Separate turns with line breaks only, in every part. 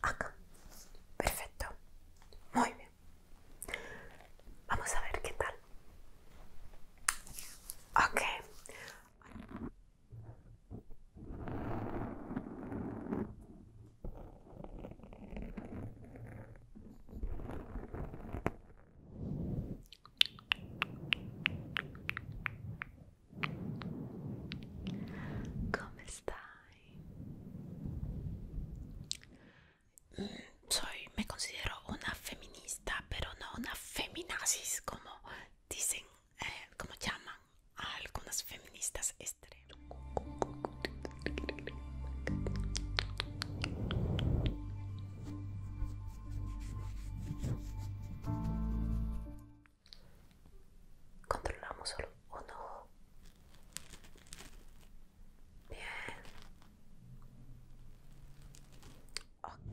Acá. Perfecto. Muy bien. Vamos a ver qué tal. Ok. ¿Cómo estás? Soy, me considero una feminista, pero no una feminazis como dicen, eh, como llaman a algunas feministas Controlamos solo uno. Bien. Okay.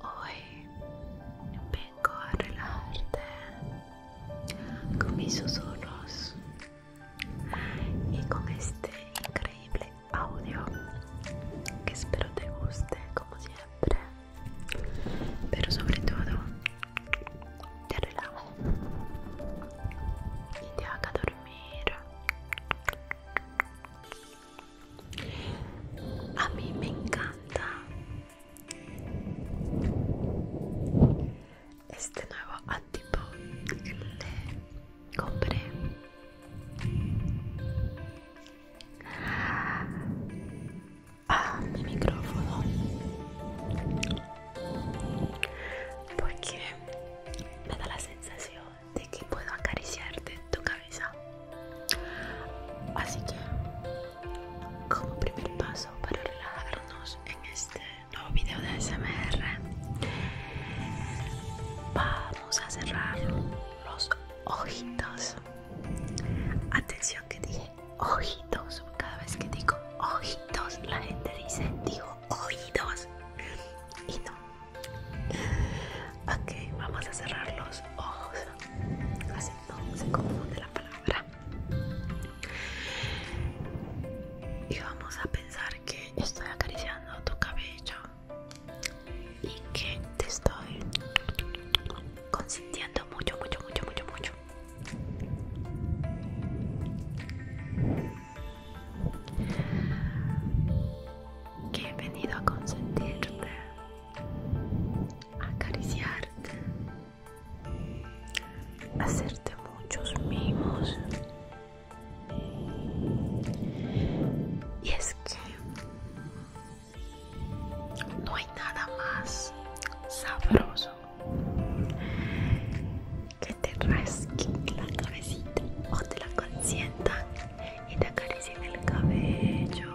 Hoy vengo a relajarte con mis susurros y con este increíble audio que espero te guste como siempre, pero sobre todo te relajo y te haga dormir. A mí me encanta este nuevo antipo que le compré. a mi micrófono. Porque me da la sensación de que puedo acariciarte tu cabeza. Así que, como primer paso para relajarnos en este nuevo video de SMR, vamos a cerrar los ojitos. Atención que dije ojitos. Cada vez que digo ojitos, la gente dice digo oídos. Y no. Ok, vamos a cerrar los ojos así no se confunde la palabra y vamos a pensar que estoy acariciando tu cabello y que te estoy consentiendo mucho mucho mucho mucho mucho que he venido a consentirte acariciarte, hacerte muchos mimos. Y es que no hay nada más sabroso que te rasquen la cabecita o te la consientan y te acaricien el cabello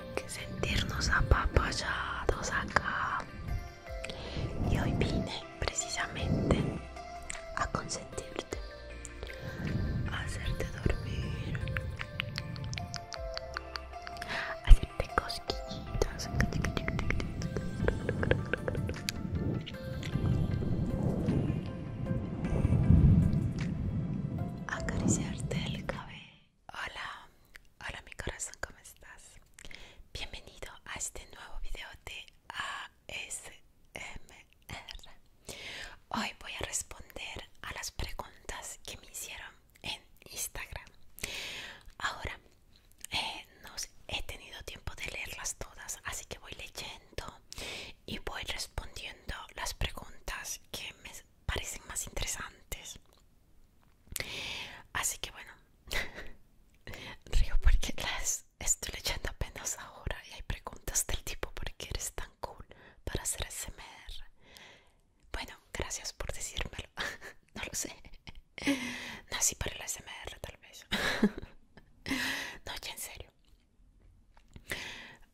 que sentirnos apapallados acá. Y hoy vine precisamente a consentirte, a hacerte dormir, a hacerte cosquillitas. Acariciarte el cabello Hola, hola mi corazón, ¿cómo estás? Bienvenido a este nuevo video de ASMR. Hoy voy a responder a las preguntas que me hicieron en Instagram. Ahora, eh, no he tenido tiempo de leerlas todas, así que voy leyendo y voy respondiendo las preguntas que me parecen más interesantes. Así que bueno, río porque las estoy leyendo apenas ahora y hay preguntas del tipo ¿por qué eres tan cool para hacer SMR? Bueno, gracias por decírmelo, no lo sé. No, para el SMR tal vez. No, en serio.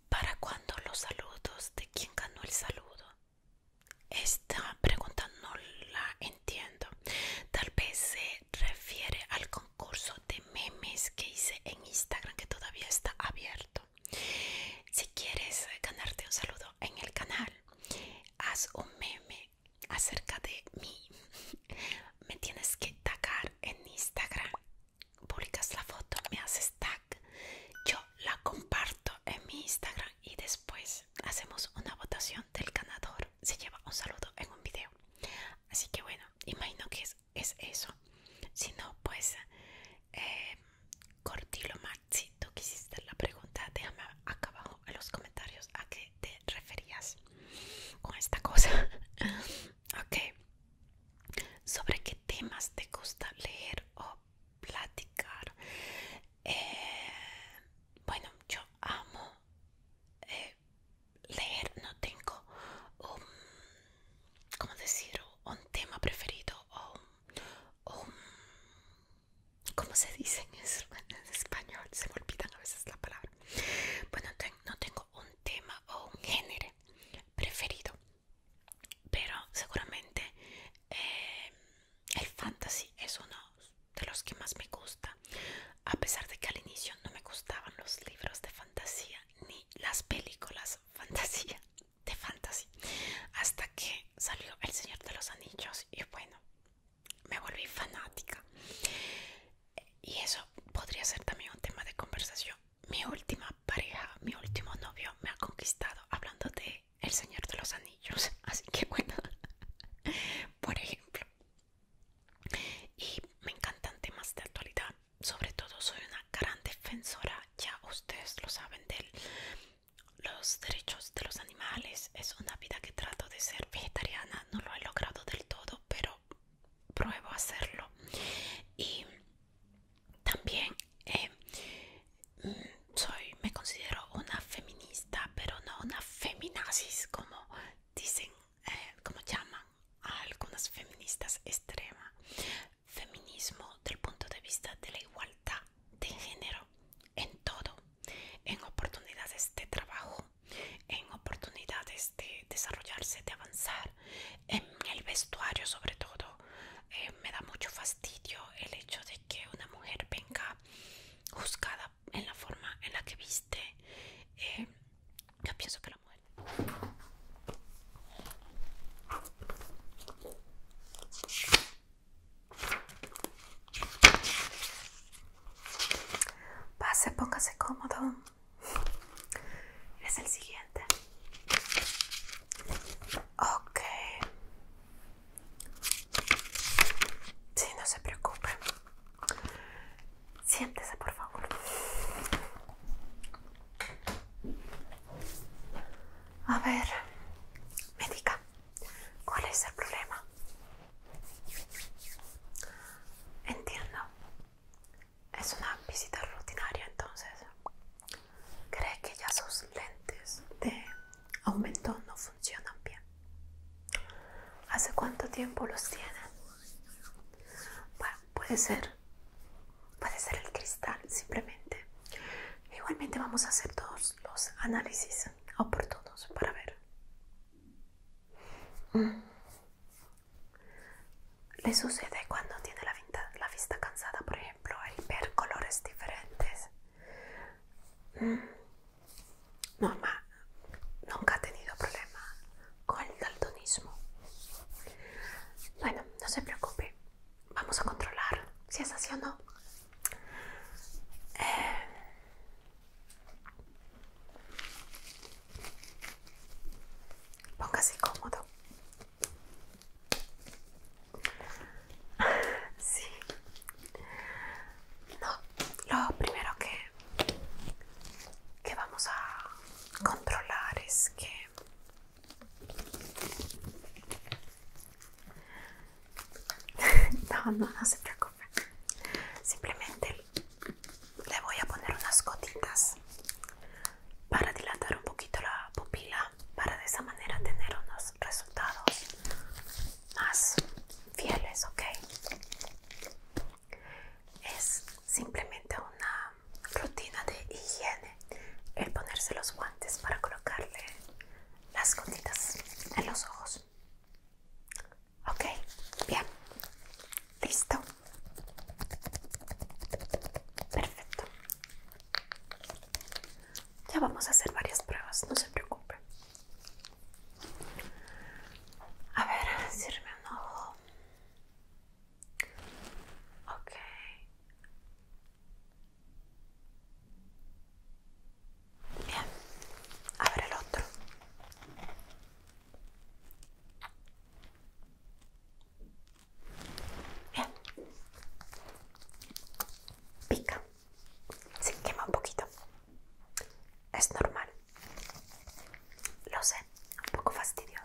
¿Para cuándo los saludos de quién ganó el saludo? Esta pregunta no la entiendo. Tal vez se refiere al concurso de memes que hice en Instagram que todavía está abierto. Si quieres ganarte un saludo en el canal, haz un meme acerca de mí. Me tienes que tagar en Instagram. Publicas la foto, me haces tag. Yo la comparto en mi Instagram y después hacemos una votación del ganador. Se lleva un saludo en un video. Así que bueno, imagino que es, eso. Si no, pues eh, Cortilo más. si tú quisiste la pregunta, déjame acá abajo en los comentarios a qué te referías con esta cosa. ok. ¿Sobre qué temas te gusta leer o platicar? Eh, bueno, yo amo eh, leer, no tengo un, ¿cómo Un tema preferido o un, ¿cómo se dice en, español? Se me olvidan a veces la palabra. Bueno, no tengo un tema o un género preferido, pero seguramente eh, el fantasy es uno de los que más me gusta, a pesar de que al inicio no me gustaban los libros de fantasía ni las películas fantasía de fantasy, hasta que salió El Señor de los Anillos y bueno, me volví fanática. Y eso podría ser también un tema de conversación. Mi última pareja, mi último novio me ha conquistado hablando de el Señor de los Anillos. Así que bueno, por ejemplo. Y me encantan temas de actualidad. Sobre todo soy una gran defensora, ya ustedes lo saben, de los derechos de los animales. Es una vida que trato de ser vegetariana. No lo he logrado del todo, pero pruebo a hacerlo. Y también eh, soy, me considero una feminista, pero no una feminazis como dicen, eh, como llaman a algunas feministas extrema Feminismo del punto de vista de la igualdad de género en todo, en oportunidades de trabajo, en oportunidades de desarrollarse, de avanzar, en el vestuario sobre todo. Eh, me da mucho fastidio el hecho de que una mujer venga juzgada en la forma en la que viste. Eh, yo pienso que la mujer... Pase, póngase cómodo. Es el siguiente. Ok. Sí, no se preocupe. Siéntese, por favor. A ver, me diga, ¿cuál es el problema? Entiendo. Es una visita rutinaria, entonces. ¿Cree que ya sus lentes de aumentó no funcionan bien. ¿Hace cuánto tiempo los tiene? Bueno, puede ser. Puede ser el cristal, simplemente. Igualmente vamos a hacer todos los análisis oportunos para ver. Mm. ¿Le sucede cuando tiene la vista, la vista cansada, por ejemplo, el ver colores diferentes? Mm. Mamá nunca ha tenido problema con el daltonismo. Bueno, no se preocupe. Vamos a controlar si es así o no. Eh, póngase cómodo. Sí, no, lo primero que, vamos a controlar es que no, no, no se preocupe. Simplemente le voy a poner unas gotitas para dilatar un poquito la pupila, para de esa manera tener unos resultados más fieles, ¿ok? Es simplemente una rutina de higiene el ponerse los guantes para colocarle las gotitas en los ojos. Ok, bien, listo. Perfecto. Ya vamos a hacer varias pruebas, no se preocupe a ver, cierre un ojo. Okay. Bien, abre el otro. Bien. Pica. Se quema un poquito. Es normal. Lo sé, un poco fastidioso.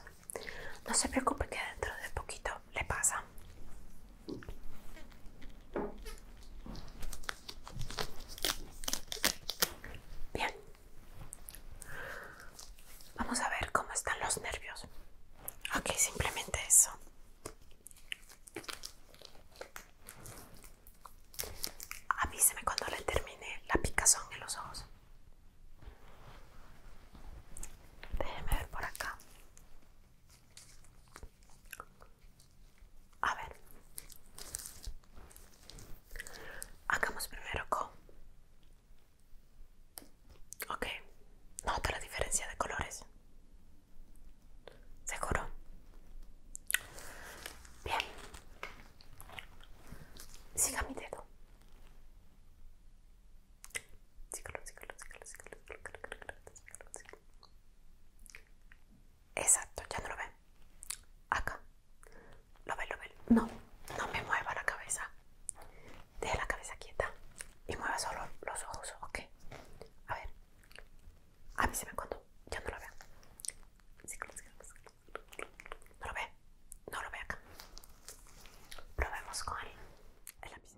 No se preocupe que dentro de poquito le pasa. Bien. Vamos a ver cómo están los nervios. Ok, simplemente eso. Avíseme cuando le termine la picazón en los ojos. Déjeme ver por acá. A ver. Hagamos primero con... Ok. Nota la diferencia de colores. ¿Seguro? Bien. Siga mi dedo. Exacto, ya no lo ven? Acá. Lo lo ven? No, no me mueva la cabeza. Deja la cabeza quieta y mueva solo los ojos, ¿ok? A ver. A mí se me cuando ya no lo veo No lo veo, no lo ve acá. lo vemos con el lápiz.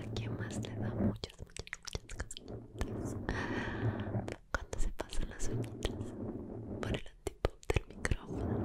Aquí más le da muchas, muchas, muchas cosas? Cuando se pasan las uñitas por el antipop del micrófono.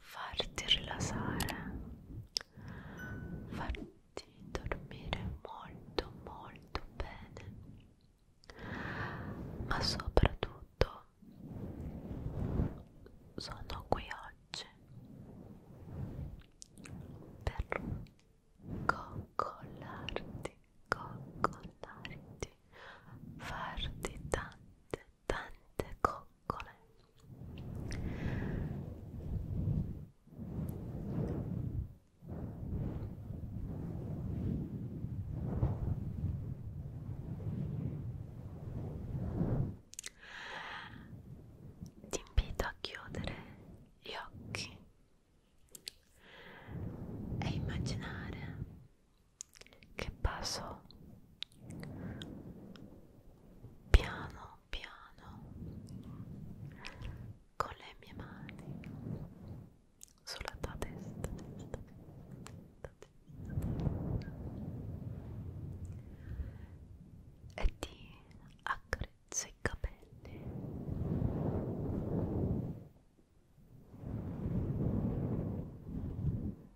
farti rilassare, farti dormire molto molto bene, ma soprattutto sono qui oggi per coccolarti, coccolarti, farti tante tante coccole ti invito a chiudere gli occhi e immaginare che passo piano piano con le mie mani sulla tua testa, testa, testa, testa, testa. e ti accarezzo i capelli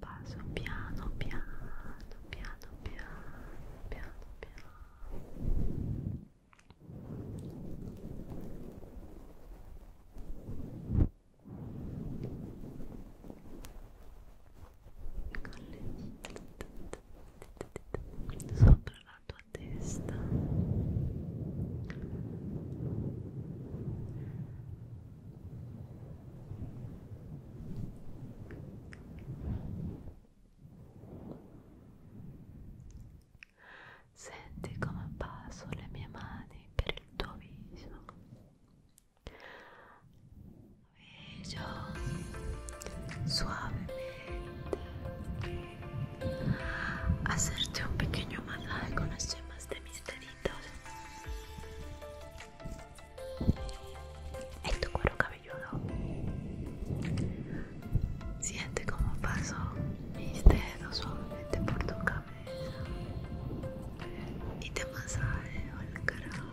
Passo piano, piano, piano, piano, piano, piano. le sopra la tua testa Senti come passo le mie mani per il tuo viso suavemente hacerte un pequeño masaje con las yemas de mis deditos en tu cuero cabelludo siente como paso mis dedos suavemente por tu cabeza y te masajeo el cráneo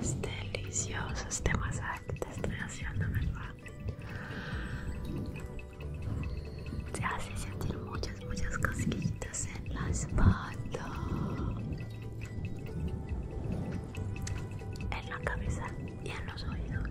Es delicioso este masaje te estoy haciendo, ¿verdad? se hace sentir muchas, muchas cosquillitas en la espalda, en la cabeza y en los oídos.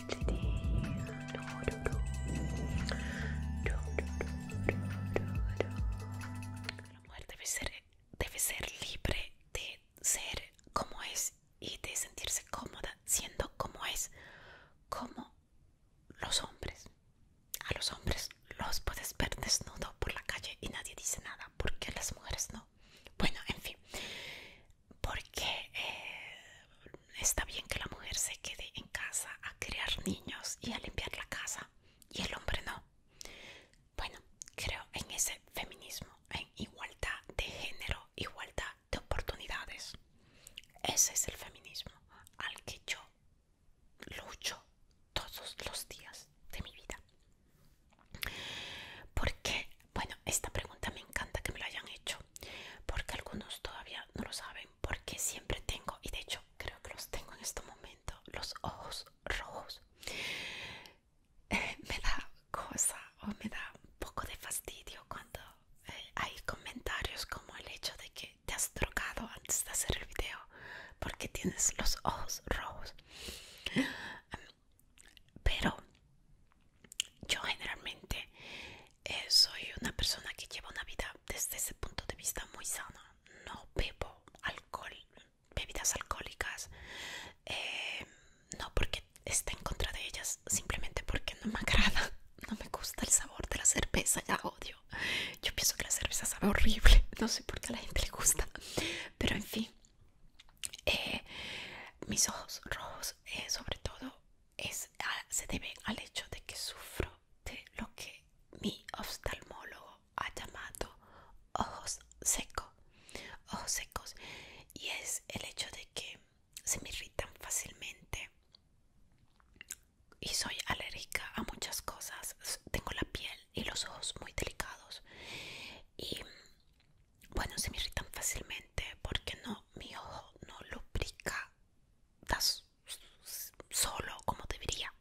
La mujer debe ser, debe ser libre de ser como es y de sentirse cómoda siendo como es, como los hombres. A los hombres los puedes ver desnudo por la calle y nadie dice nada, porque las mujeres no. Bueno, en fin, porque eh, está bien que la mujer se quede en casa a criar niños y a limpiar la casa y el hombre no. Bueno, creo en ese feminismo, en igualdad de género, igualdad de oportunidades. Ese es el feminismo al que yo lucho todos los días de mi vida. Porque, bueno, esta pregunta me encanta que me la hayan hecho porque algunos todavía no lo saben, porque siempre tengo, y de hecho creo que los tengo en este momento, los ojos rojos. me da cosa o me da un poco de fastidio cuando eh, hay comentarios como el hecho de que te has trocado antes de hacer el video porque tienes los ojos rojos. Pero yo generalmente eh, soy una persona que lleva una vida desde ese punto de vista muy sana. No bebo alcohol, bebidas alcohólicas, eh, no porque esté en contra de ellas, simplemente porque no me agrada, no me gusta el sabor de la cerveza, la odio. Yo pienso que la cerveza sabe horrible, no sé por qué a la gente le gusta, pero en fin, eh, mis ojos rojos sobre todo es, se debe al hecho de que sufro de lo que mi oftalmólogo ha llamado ojos secos, ojos secos, y es el hecho de que se me irritan fácilmente y soy alérgica a muchas cosas. Tengo la piel y los ojos muy delicados y bueno se me irritan fácilmente porque no mi ojo no lubrica solo como debería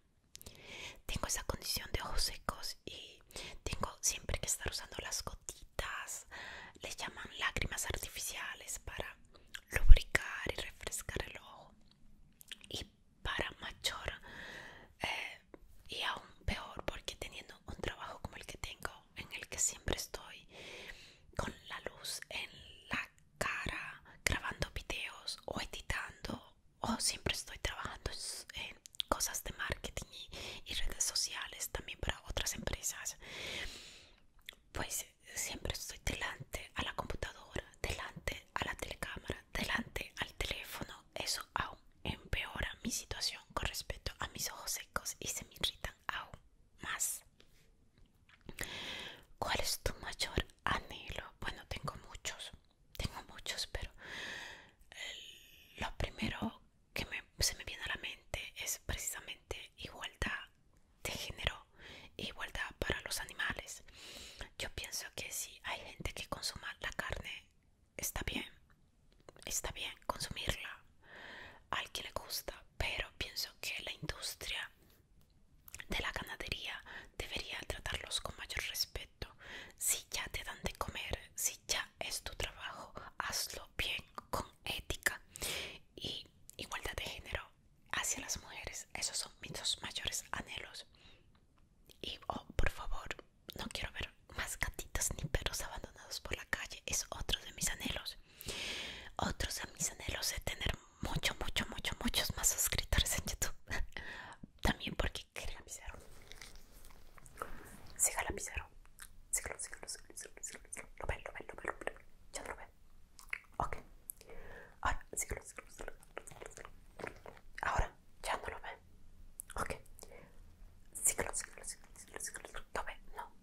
tengo esa condición de ojos secos y tengo siempre que estar usando las gotitas les llaman lágrimas artificiales para lubricar y refrescar el ojo y para mayor eh, y aún peor porque teniendo un trabajo como el que tengo, en el que siempre estoy con la luz en la cara, grabando videos o editando, o siempre estoy trabajando en cosas de marketing y, redes sociales también para otras empresas, pues siempre estoy delante a la computadora, delante a la telecámara, delante al teléfono, eso aún empeora mi situación con respecto a mis ojos secos y se me irritan aún más. ¿Cuál es tu mayor anhelo? Bueno, tengo muchos, tengo muchos, pero eh, lo primero que se me viene a la mente es precisamente igualdad de género, igualdad para los animales. Yo pienso que si hay gente que consuma la carne, está bien, está bien consumirla. Al que le gusta, pero pienso que la industria de la ganadería debería tratarlos con mayor respeto. Si ya te dan de comer, si ya es tu trabajo, hazlo bien, con ética y igualdad de género hacia las mujeres. Esos son mis dos mayores anhelos. Y, oh, por favor, no quiero ver más gatitas ni perros abandonados por la calle. Es otro de mis anhelos. Otros de mis anhelos es tener mucho, mucho, mucho, muchos más suscriptores en YouTube. También porque quieren la Lo ve lo ven, lo ven, lo ven. lo ven. Ok. Ahora, Ahora, ya no lo ve Ok. Lo ve no.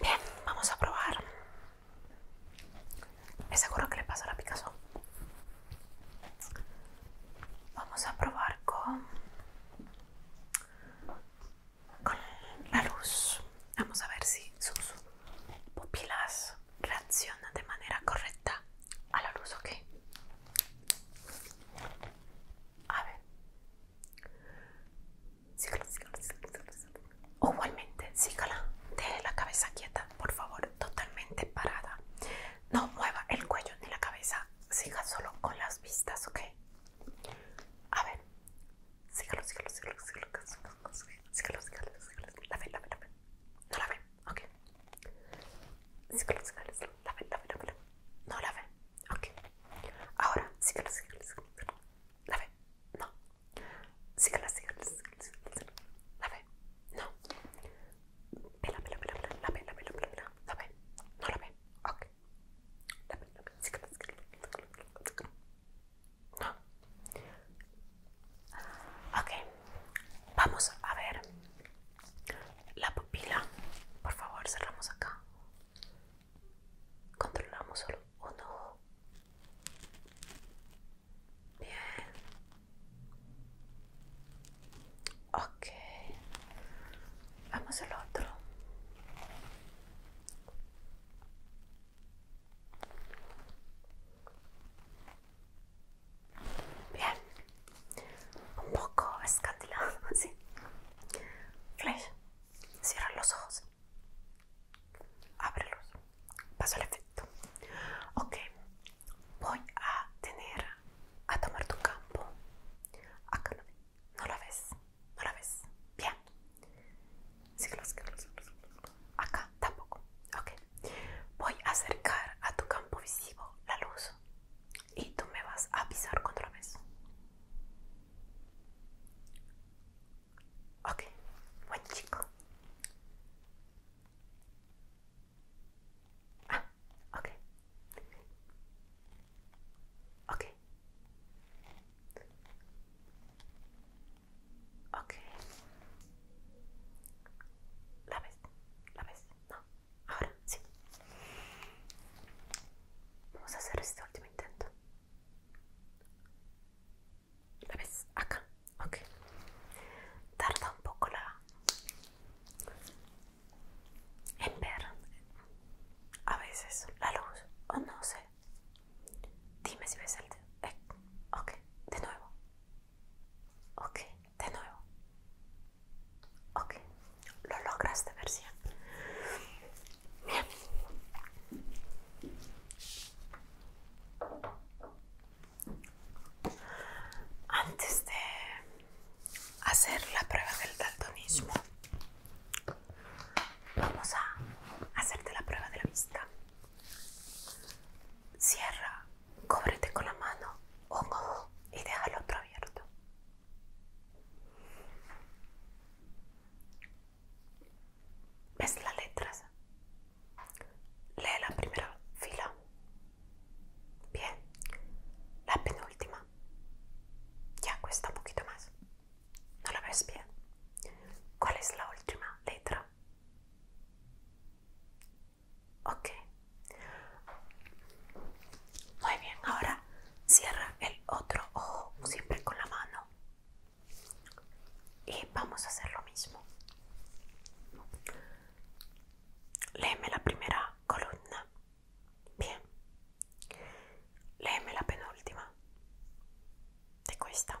Bien, vamos a probar. ¿Es seguro que le pasó la Picasso? Vamos a probar con, con la luz. Vamos a ver si sus pupilas reaccionan de manera correcta a la luz, ¿ok? A ver igualmente, Deje la cabeza quieta, por favor, totalmente parada. No mueva el cuello ni la cabeza. Siga solo con las vistas, ¿ok? A ver. Sígalo, sígalo, sígalo, sígalo, La ve, la ve, la No la ve, ok. Sígalo, sígalo, La ve, la no la ve. Ok. Ahora, sí que síguela, síguela. La ve. No. sí que síguela, síguela. La ve. No. Vela, pela pela pela La ve, la ve, la ve, la La ve. No la ve. Ok. La ve, la ve. Síguela, síguela, No. Ok. Vamos a ver la pupila. Por favor, cerramos acá. Controlamos solo uno Bien. okay Vamos al otro. Bien. Un poco escantilado, así. Flash. Cierra los ojos. Ábrelos. Paso al efecto. Ok. Voy a tener a tomar tu campo. Acá no, la ves. No la ves. Bien. los los ojos Acá tampoco. Ok. Voy a acercar a tu campo visivo la luz y tú me vas a pisar contra vez. Ok, buen chico. Ah, ok. Ok. Ok. ¿La ves? ¿La ves? No. Ahora sí. Vamos a hacer este último intento. ¿La ves? Acá. Ok. Tarda un poco la... En ver. A veces la luz. O no sé. Dime si ves el... Eh, ok. De nuevo. Ok. De nuevo. Ok. Lo lograste, si. Bien. Antes de hacer la prueba del daltonismo, vamos a hacerte la prueba de la vista. Cierra, cóbrete con la mano un ojo y deja el otro abierto. ¿Ves las letras? Lee la primera fila. Bien. La penúltima. Ya cuesta un poquito más. ¿No la ves bien? ¿Cuál es la última letra? Ok. Muy bien, ahora cierra el otro ojo siempre con la mano y vamos a hacer lo mismo leeme la primera columna bien leeme la penúltima de cuesta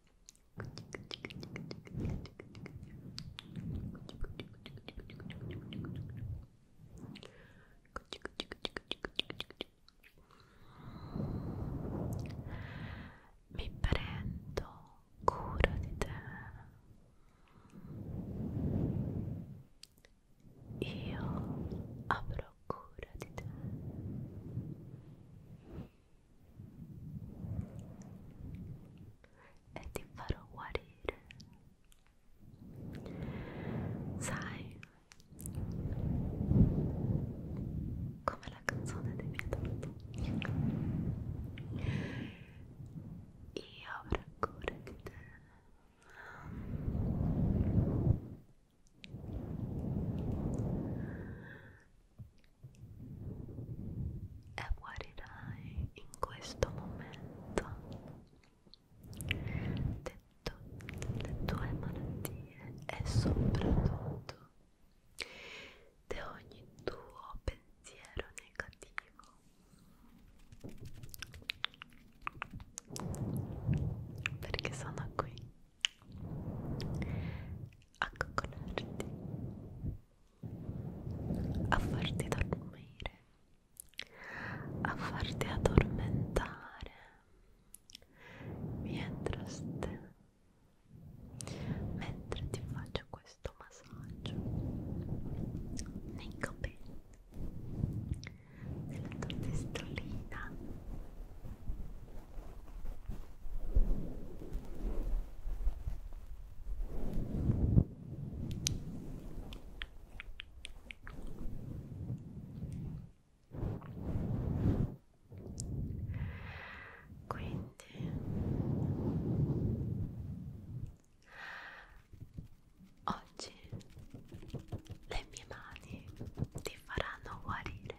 Mi prendo cura di te. Io avrò cura di te e ti farò guarire. Sai, come la canzone dei viadotti, io avrò cura di te e guarirai in questo momento le tue malattie e soprattutto di ogni tuo pensiero negativo perché sono qui a coccolarti a farti dormire, a farti addormentare mientras te, mentre ti faccio questo massaggio nei capelli, nella tua testolina quindi oggi le mie mani ti faranno guarire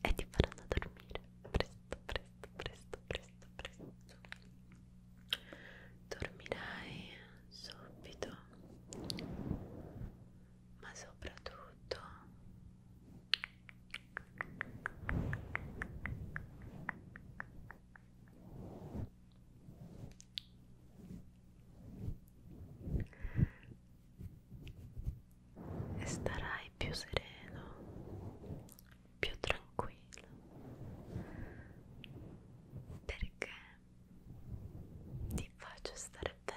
e ti faranno dormire presto, presto, presto, presto, presto. Dormirai subito, ma soprattutto e starai più sereno, più tranquillo perché ti faccio stare bene.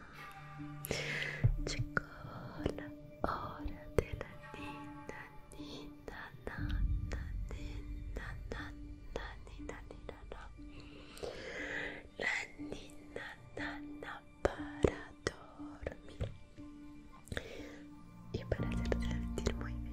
Llegó la hora de la nina, nina, nana, nina, nana, nina, nina, La nina, nana para dormir y para hacerte sentir muy bien.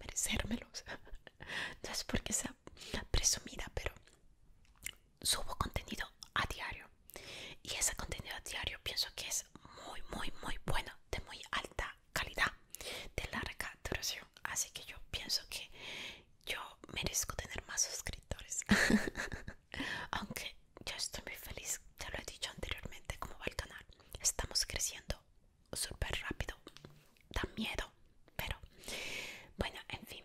Merecérmelos. No es porque sea presumida, pero subo contenido a diario y ese contenido diario pienso que es muy muy muy bueno de muy alta calidad de larga duración así que yo pienso que yo merezco tener más suscriptores aunque yo estoy muy feliz ya lo he dicho anteriormente como va el canal estamos creciendo súper rápido da miedo pero bueno en fin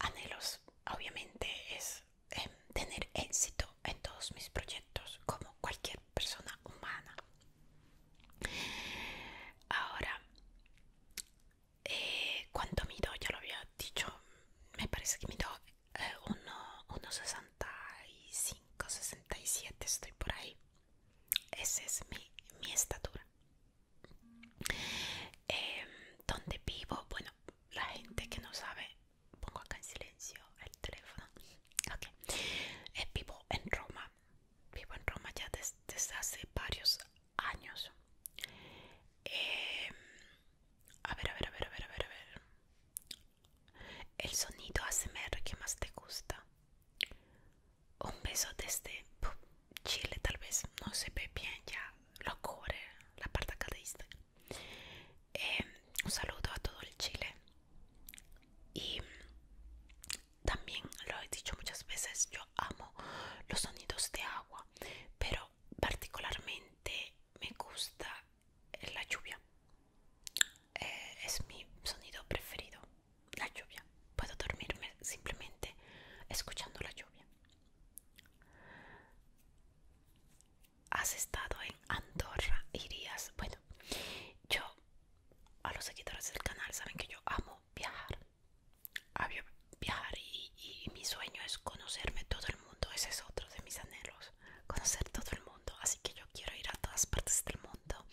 anhelos obviamente es Em, tener éxito en todos mis proyectos como cualquier persona humana ahora eh, cuando cuánto mido ya lo había dicho me parece que mido 1,65 67 estoy por ahí esa es mi, estatura ¿Dónde em, donde vivo bueno la gente que no sabe pongo acá en silencio el teléfono. Ok. Eh, vivo en Roma. Vivo en Roma ya desde hace varios años. Em, a ver, a ver, a ver, a ver, a ver, ver. El sonido ASMR que más te gusta. Un beso desde Chile, tal vez no se ve bien, ya lo cubre la parte Em, un saludo a todo el Chile y también lo he dicho muchas veces yo amo los sonidos de agua pero particularmente me gusta la lluvia eh, es mi sonido preferido la lluvia puedo dormirme simplemente escuchando la lluvia has estado en Andorra, irías. Bueno, yo, a los seguidores del canal, saben que yo amo viajar. viajar y, y mi sueño es conocerme todo el mundo. Ese es otro de mis anhelos, conocer todo el mundo. Así que yo quiero ir a todas partes del mundo.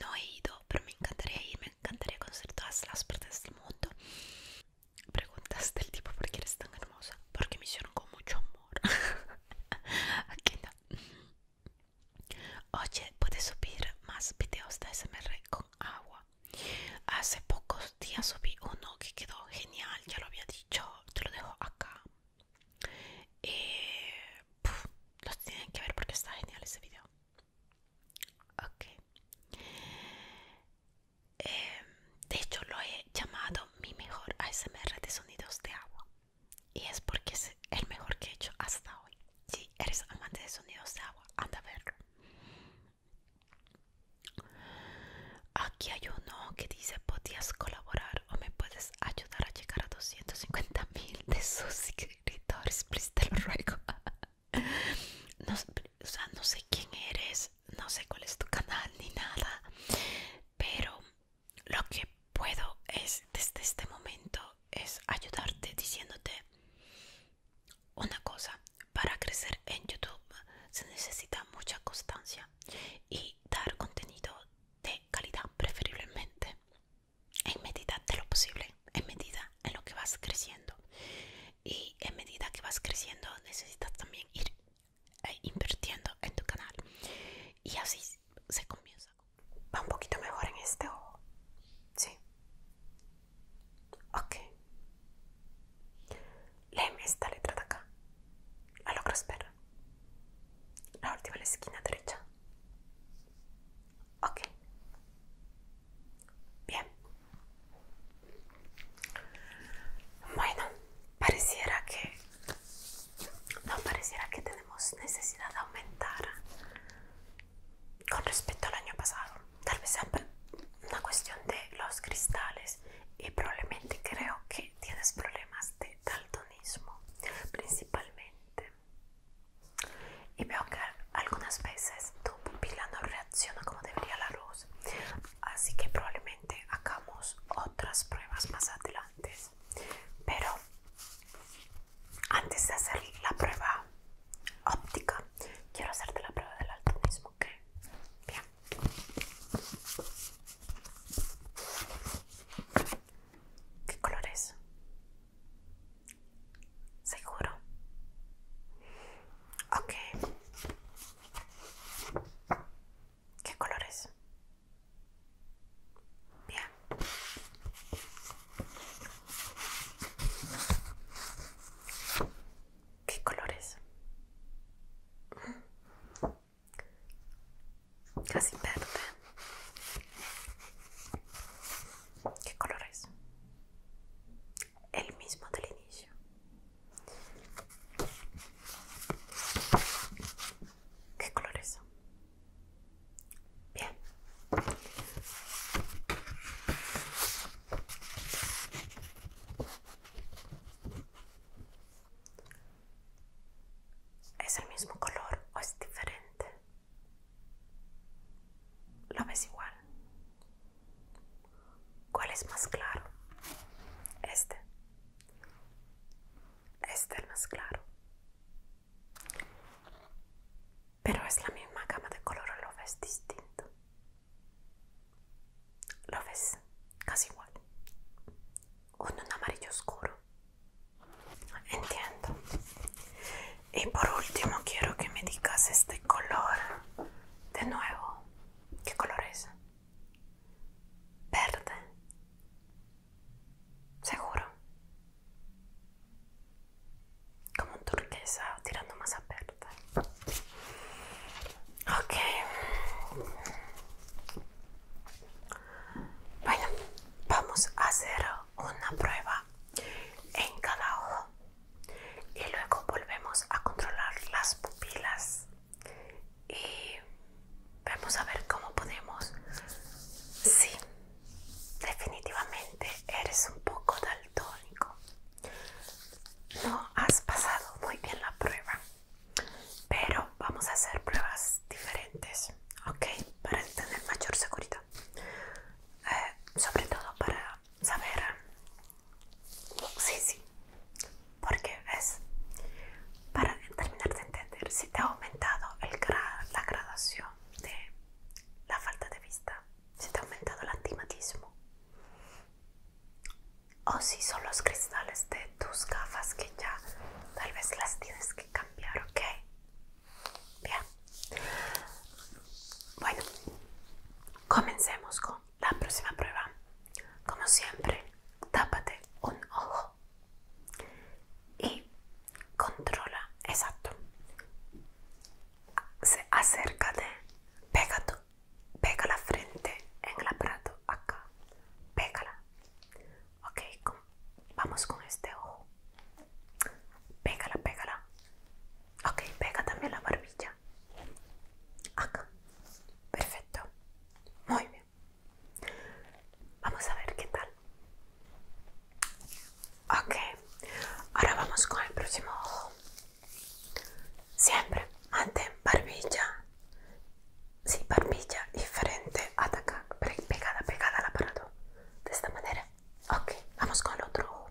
No he ido, pero me encantaría ir, me encantaría conocer todas las partes del mundo. Preguntas del tipo, ¿por qué eres tan hermosa? porque me hicieron con mucho amor. Aquí Oye, puedes subir más videos de ASMR con agua. Hace pocos días subí uno que quedó genial, ya lo había dicho, te lo dejo acá. Eh, los tienen que ver porque está genial ese video. Ok. Em, de hecho, lo he llamado mi mejor ASMR de sonidos de agua. Y es porque es el mejor que he hecho hasta hoy. Si eres amante de sonidos de agua, anda a verlo. Aquí hay uno que dice, podías colaborar o me puedes ayudar a llegar a 250.000 mil de suscriptores, please te lo ruego. No, o no sé quién eres, no sé cuál es tu canal ni nada, pero lo que puedo es desde este momento es ayudarte diciéndote una cosa para crecer en youtube se necesita mucha constancia y dar contenido de calidad preferiblemente en medida de lo posible en medida en lo que vas creciendo y en medida que vas creciendo necesitas también ir eh, invirtiendo en tu canal y así se comienza va un poquito mejor en este ojo sí ok lee esta letra de acá la que la última la esquina derecha ok bien bueno pareciera que no pareciera que tenemos necesidad de aumentar con respecto al año pasado. Tal vez sea una cuestión de los cristales y probablemente creo que tienes problemas de daltonismo principalmente. Y veo que algunas veces tu pupila no reacciona como debería la luz. Así que probablemente hagamos otras pruebas más adelante pero antes de hacer la prueba óptica, quiero hacerte la prueba del mismo, ¿ok? Bien. ¿Qué color es? ¿Seguro? Ok. ¿Qué colores? Bien. ¿Qué colores? Casi verde. ¿Qué colores? El mismo del inicio. ¿Qué color es? Bien. ¿Es el mismo color o es diferente? ¿Lo ves igual? ¿Cuál es más claro? Este. Este es más claro. Pero es la misma gama de color, lo ves distinto. Lo ves casi igual. Uno un amarillo oscuro. Entiendo. Y por último quiero que me digas este color de nuevo. ¿Qué color es? Verde. Seguro. Como un turquesa tirando más aperta. Ok. Bueno, vamos a hacer una prueba en cada ojo y luego volvemos a controlar las pupilas y Vamos a ver cómo podemos. Sí, definitivamente eres un poco daltónico. No has pasado muy bien la prueba, pero vamos a hacer pruebas diferentes, ¿ok? Para tener mayor seguridad. Eh, sobre todo para saber... Sí, sí. Porque es para terminar de entender si te ha aumentado la gradación de la falta de vista, si te ha aumentado el antimatismo o si son los cristales de tus gafas que ya tal vez las tienes que cambiar, ¿ok? Bien. Bueno, comencemos con la próxima prueba. Como siempre, tápate un ojo y controla, exacto. Se acércate, pega, tu, pega la frente en la aparato acá, pégala. Ok, vamos con este ojo. Pégala, pégala. Ok, pega también la barbilla. Acá. Perfecto. Muy bien. Vamos a ver qué tal. Ok. Ahora vamos con el próximo ojo. Siempre ante barbilla. Sí, barbilla diferente frente ataca, pegada, pegada al aparato. De esta manera. Ok, vamos con el otro ojo.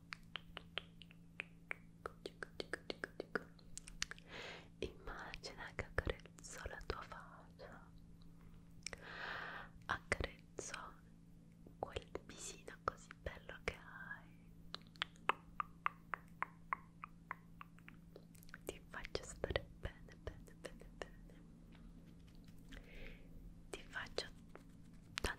Immagina che accarezzo la tua faccia, accarezzo quel visino così bello che hai. Ti faccio stare bene, bene, bene, bene. Ti faccio tanti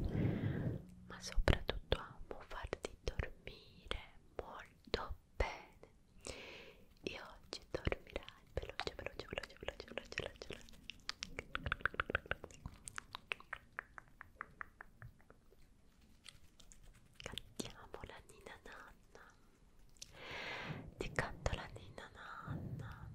sicuramente ma soprattutto amo farti dormire molto bene e oggi dormirai veloce veloce veloce veloce veloce veloce, veloce. Cantiamo la Nina Nanna. Ti canto la Nina Nanna.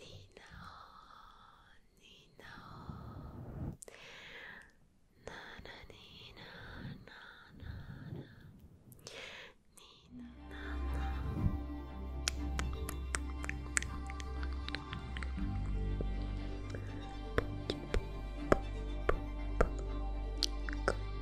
Nino, Nino, na na Nina, na na na, Nina, na na.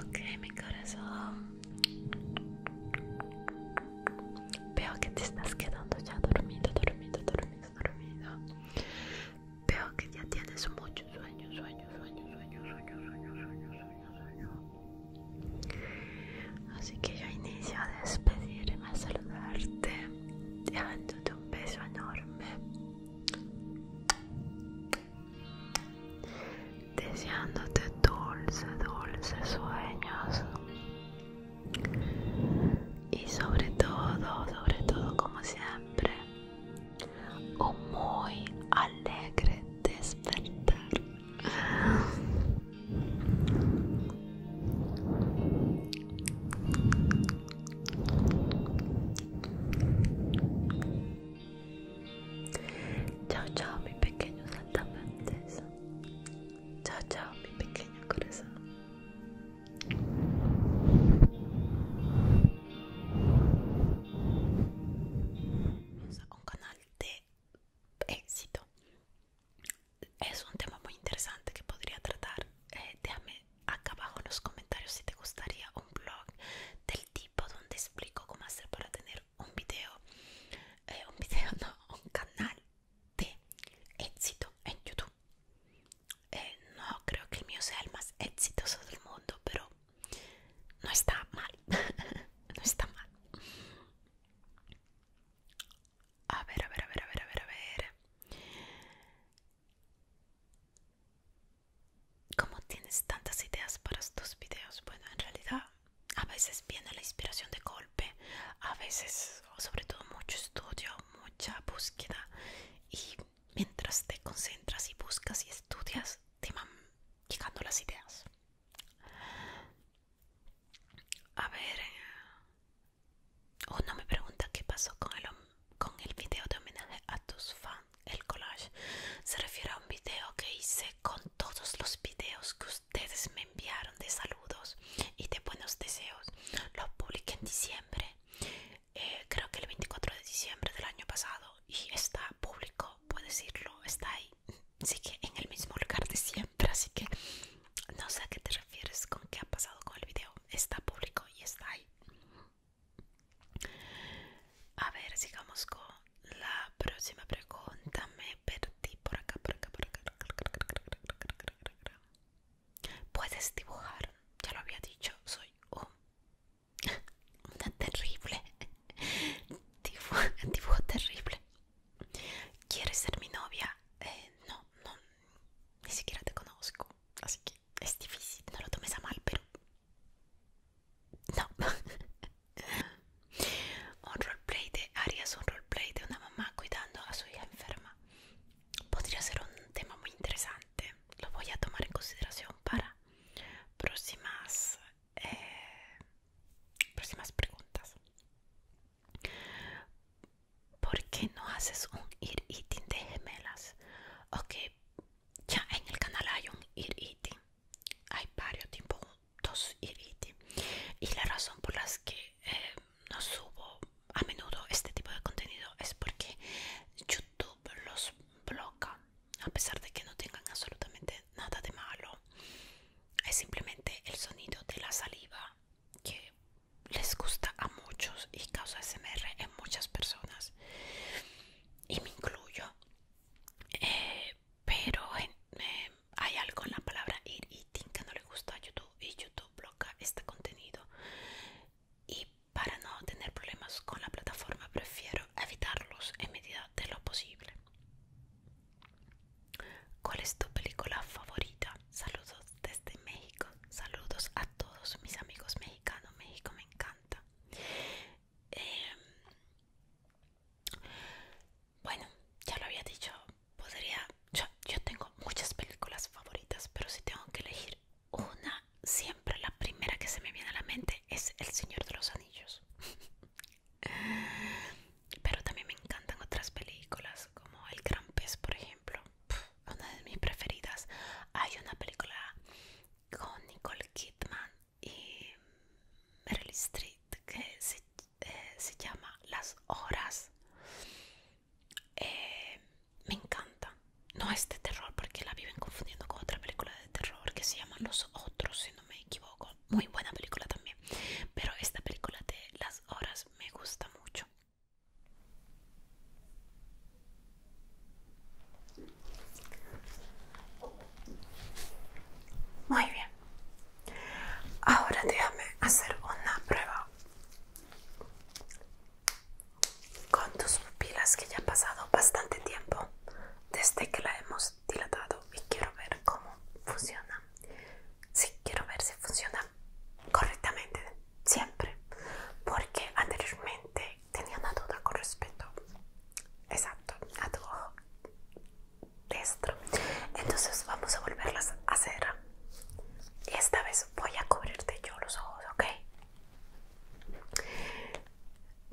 Ok, mi corazón. Veo que te estás quedando ya dormido, dormido, dormido, dormido. Veo que ya tienes mucho sueño, sueño, sueño, sueño, sueño, sueño, sueño, sueño, Así que yo inicio a despedirme, a saludarte, dejándote un beso enorme. Deseándote dulce, dulce sueños. Y sobre todo, sobre todo como siempre, un muy alegre despertar. Chao, chao, mis pequeños saltamontes. Chao, chao, mi pequeño corazón. un canal de éxito. Es un tema muy interesante que podría tratar. Eh, déjame acá abajo en los comentarios si te gustaría un blog del tipo donde explico cómo hacer para tener un video, eh, un video no, un canal de éxito en YouTube. Eh, no creo que el mío sea el más exitoso del mundo, pero no está mal, no está mal. A ver, a ver, a ver, a ver, a ver, a ver. ¿Cómo tienes tantas ideas para estos videos? Bueno, en realidad a veces viene la inspiración de golpe, a veces, o sobre todo, mucho estudio, mucha búsqueda. Y mientras te concentras y buscas y estudias, te van llegando las ideas. A ver. Uno eh, oh, me pregunta qué pasó con el, con el video de homenaje a tus fans. El collage se refiere a un video que hice con todos los videos que ustedes me enviaron de saludos y de buenos deseos. Lo publiqué en diciembre, eh, creo que el 24 de diciembre del año pasado y está público, puedes decirlo, está ahí sigue en el mismo lugar de siempre, así que no sé a qué te refieres con qué ha pasado con el video. Está público y está ahí. A ver, sigamos con la próxima pregunta. Me perdí por acá, por acá, por acá. Puedes dibujar, ya lo había dicho, soy un una terrible dibujo, dibujo terrible ¿Quieres ser mi novia? Eh, no, no, ni siquiera te conozco Así que es difícil, no lo tomes a mal, pero... No Un roleplay de Arias, un roleplay de una mamá cuidando a su hija enferma Podría ser un tema muy interesante Lo voy a tomar en consideración para próximas eh, próximas preguntas. ¿Por qué no haces un ear eating de gemelas? Ok, ya en el canal hay un ear eating. Hay varios tipos, de ear eating. Y la razón por las que eh, no subo a menudo este tipo de contenido es porque YouTube los bloquea a pesar de que no tengan absolutamente nada de malo, es simplemente el sonido de la saliva que les gusta a muchos y causa SMR en muchas personas y me incluyo eh, pero em, hay algo en la palabra eating que no le gusta a YouTube y YouTube bloquea este contenido y para no tener problemas con la plataforma prefiero evitarlos en medida de lo posible ¿Cuál es tu película favorita? Saludos desde México. Saludos a todos mis amigos mexicanos. México me encanta. Em, bueno, ya lo había dicho. Podría. yo tengo muchas películas favoritas, pero si tengo que elegir una, siempre la primera que se me viene a la mente es El Señor de los Anillos. Pero también me encantan otras películas como El Gran Pez, por ejemplo. una de mis preferidas. Hay una película con Nicole Kidman y Meryl Streep que se, eh, llama Las Horas. Eh, me encanta. No es de terror porque la viven confundiendo con otra película de terror que se llama Los Otros, si no me equivoco muy buena película también pero esta película de las horas me gusta mucho muy bien ahora déjame hacer una prueba con tus pupilas que ya ha pasado bastante tiempo desde que la hemos Dilatado y quiero ver cómo funciona. Sí, quiero ver si funciona correctamente, siempre, porque anteriormente tenía una duda con respecto, exacto, a tu ojo destro. Entonces vamos a volverlas a hacer. Y esta vez voy a cubrirte yo los ojos, ¿ok?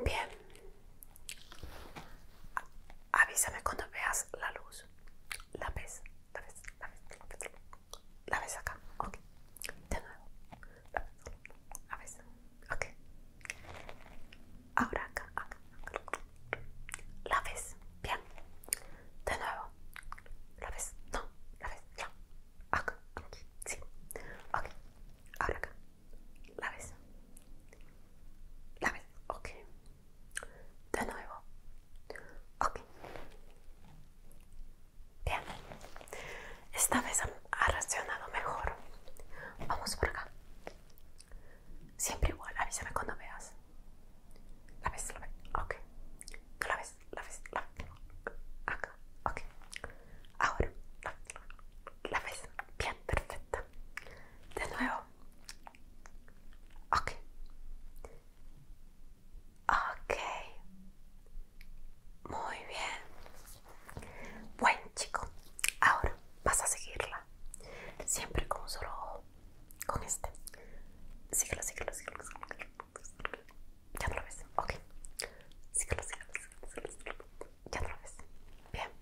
Bien avísame cuando veas la luz. La ves, la ves, la ves, la ves, acá, ok. De nuevo, la ves, ok. Ahora acá, La ves, bien. De nuevo, la ves, no, la ves, No Acá, aquí, sí. Ok, ahora acá. La vez, La vez, Ok. De nuevo. Ok. Bien. Esta vez ha reaccionado mejor. Vamos por acá. Siempre igual, avísame cuando veas. La ves, la ves. Ok. la ves, la ves, Acá. Ok. Ahora. La, vez, Bien, perfecta. De nuevo. Ok. Ok. Muy bien. Buen chico. Ahora vas a seguirla. Siempre con un solo ojo. Con este. Síguelo, síguelo, síguelo. Ya no lo ves. Ok. Síguelo, síguelo, síguelo. Ya no lo ves. Bien.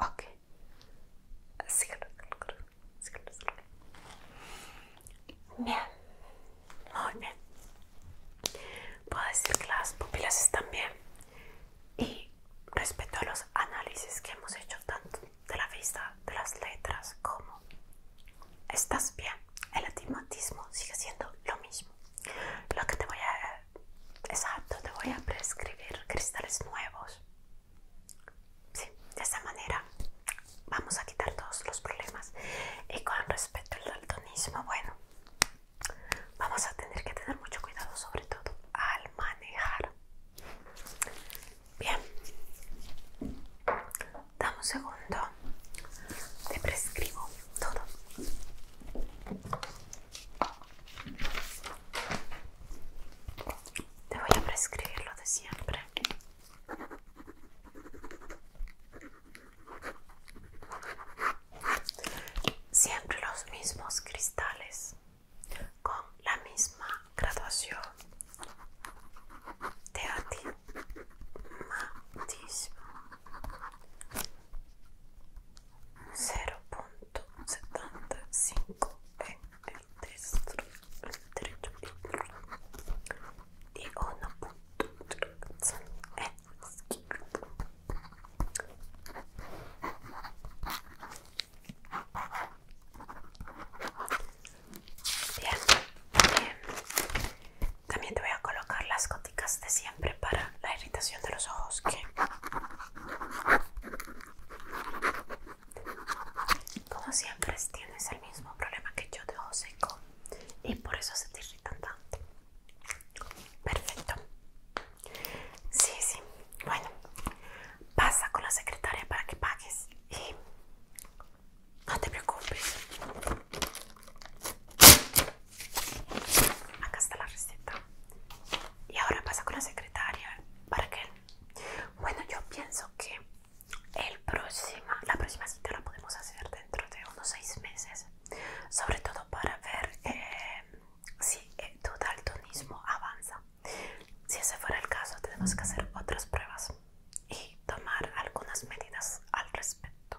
Ok. Bien. Muy bien. Puedo decir que las pupilas están bien. Y respecto a los análisis que hemos hecho, tanto de la vista, de las letras, como estás bien. El atimatismo sigue siendo lo mismo. Lo que te voy a Exacto, te voy a prescribir cristales nuevos. Sí, de esa manera vamos a quitar todos los problemas. Y con respecto al daltonismo, bueno, vamos a tener que tener mucho cuidado, sobre todo al manejar. Bien, dame un segundo, te prescribo todo. Te voy a prescribir lo de siempre. Siempre los mismos cristales con la misma graduación de 0.75 en el destro, el derecho y 1.3 en el izquierdo. Bien, También te voy a colocar las goticas de Prepara para la irritación de los ojos que como siempre tienes el mismo problema que yo de ojo seco y por eso se te irritan tanto perfecto sí sí bueno pasa con la secretaria para que pagues y no te preocupes acá está la receta y ahora pasa con la secretaria para qué? bueno yo pienso que el próxima, la próxima cita la podemos hacer dentro de unos seis meses sobre todo para ver eh, si eh, tu daltonismo avanza si ese fuera el caso tenemos que hacer otras pruebas y tomar algunas medidas al respecto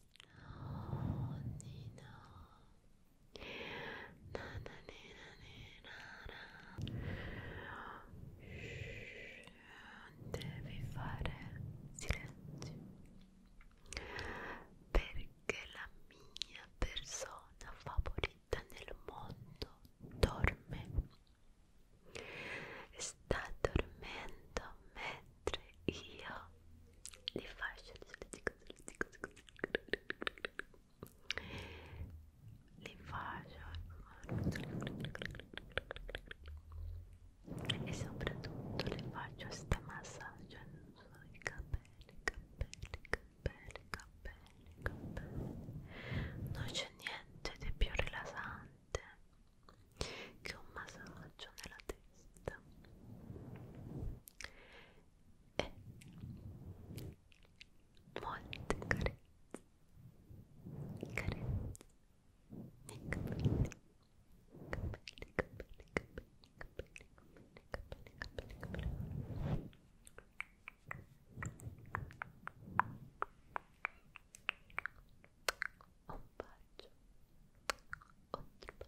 devi fare silenzio perché la mia persona favorita nel mondo dorme sta dormendo mentre io le fasce così, così, così, così. le faccio e soprattutto le faccio sta massaggio sui capelli capelli capelli capelli capelli non c'è niente di più rilassante che un massaggio nella testa e molte carezze carezze nei capelli capelli, capelli, capelli, capelli, capelli, capelli, capelli, capelli. un parche, otro put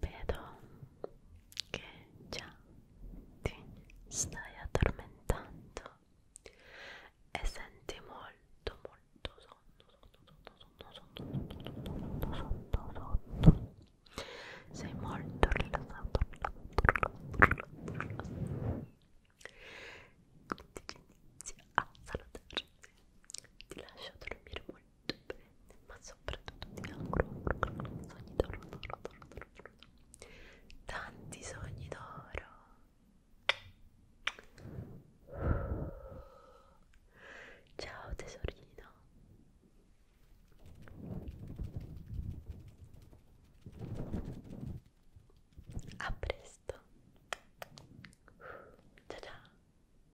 Vedo che già ti stai addormentando e senti molto molto sonno, sonno, sonno, sonno, sonno, sonno. Sei molto rilassato, rilassato, rilassato. Quindi inizio a salutarti. Ti lascio dormire molto molto bene, ma soprattutto ti auguro sogni d'oro, d'oro, d'oro, d'oro, tanti sogni d'oro. Ciao tesorino. A presto. Ciao ciao.